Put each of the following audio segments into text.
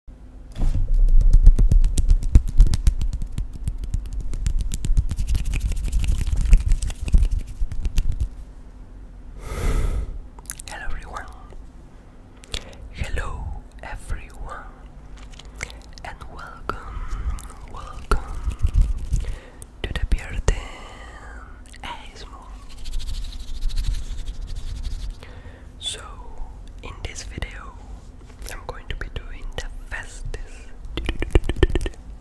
Hello everyone. Hello everyone. And welcome, welcome to the Bearden so, in this video, I'm going to be doing the fastest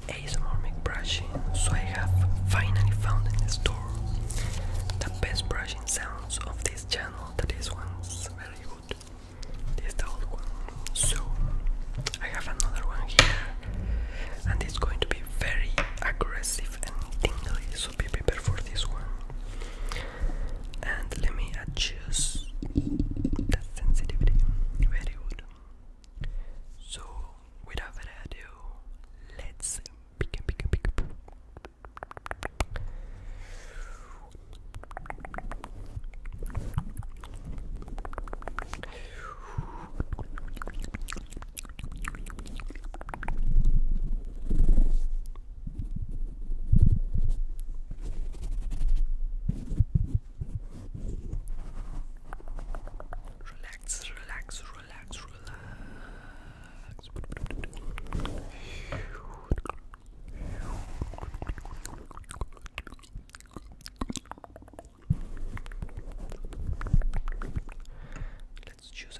ASMR brushing. So, I have finally found in the store the best brushing sounds of this channel. That is one's very good. This the old one. So, I have another one here, and it's going to be very aggressive and tingly. So, be prepared for this one and let me adjust the sensitivity very good so without further ado let's begin begin begin Relax, relax, relax, relax. Let's choose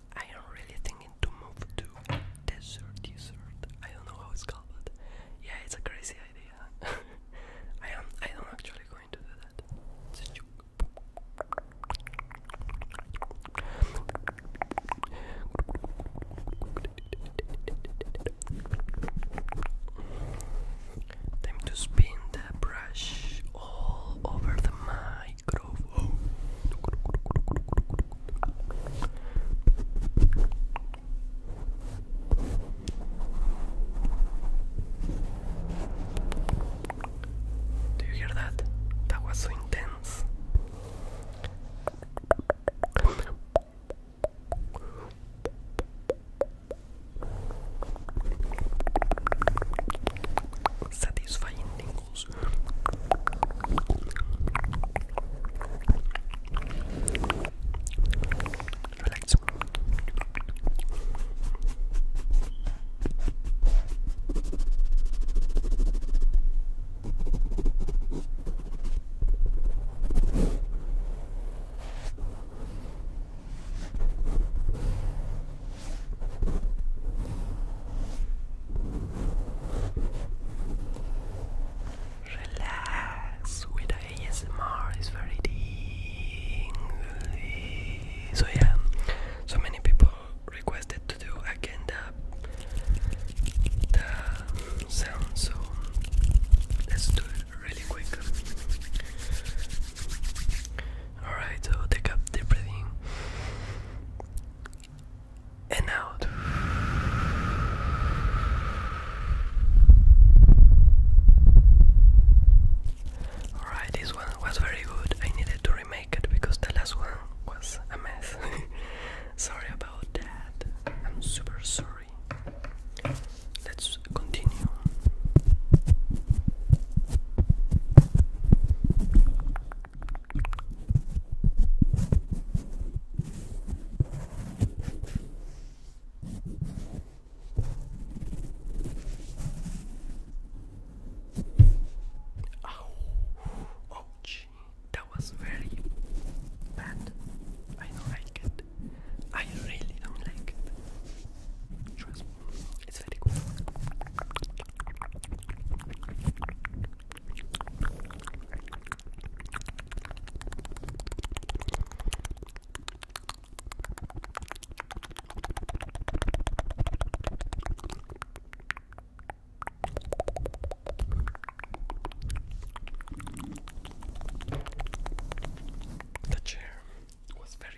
I am really thinking to move to desert desert. I don't know how it's called, but yeah, it's a crazy idea. I am. I am actually going to do that. It's a joke. Time to spin the brush all over the mic microphone. you hear that? That was so intense. Satisfying tingles. Relax. Relax. Relax with the ASMR is very tingly. So yeah, so many people requested to do again the, sound. So let's do it really quick. Alright, so take up deep breathing and out. Alright, this one was very good. I needed to remake it because the last one was a mess. sorry about that. I'm super sorry. Let's continue. Oh, oh, that was very bad. I don't like I really don't like it. Trust me, it's very good. The chair was very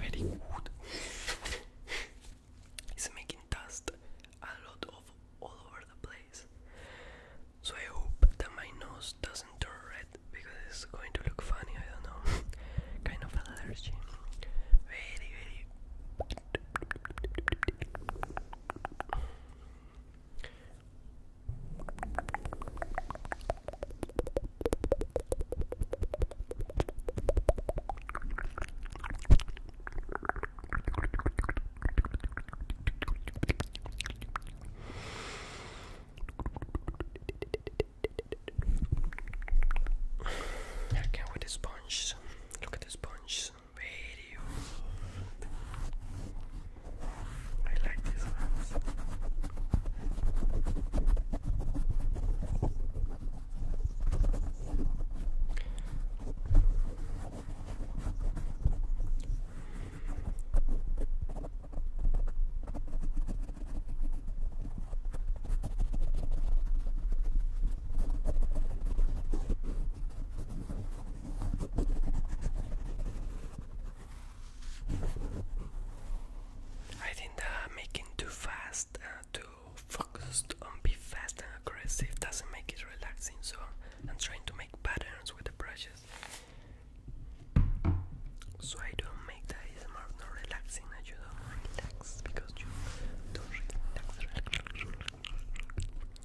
Very good. it's making dust a lot of all over the place. So I hope that my nose doesn't turn red because it's going to look funny, I don't know. kind of allergy. Very, very I can't with the sponge. Look at the sponge radio. I like these ones. I think that making too fast, uh, too focused on be fast and aggressive doesn't make it relaxing. So I'm trying to make patterns with the brushes, so I don't make that is more not relaxing. And you don't relax because you don't relax. relax, relax.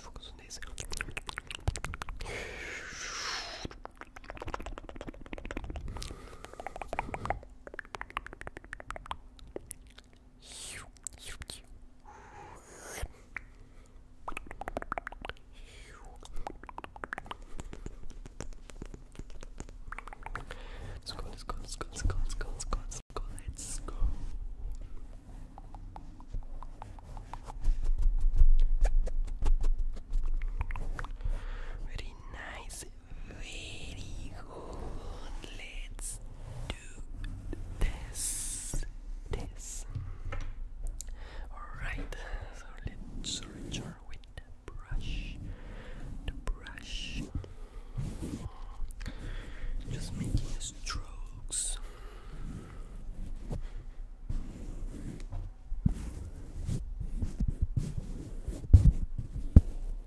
Focus on this, focus on this. Let's go, let's go, let's go, let's go, let's go, let's go, let's go, let's go. Very nice, very Let's do this. This. Alright, so let's return with brush. The brush. Just making strokes.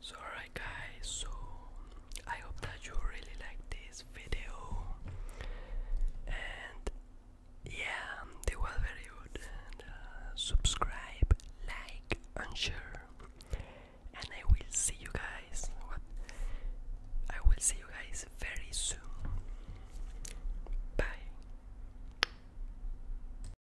So alright guys, so I hope that you really like this video and yeah, they were very good and uh, subscribe, like and share and I will see you guys I will see you guys very soon. Bye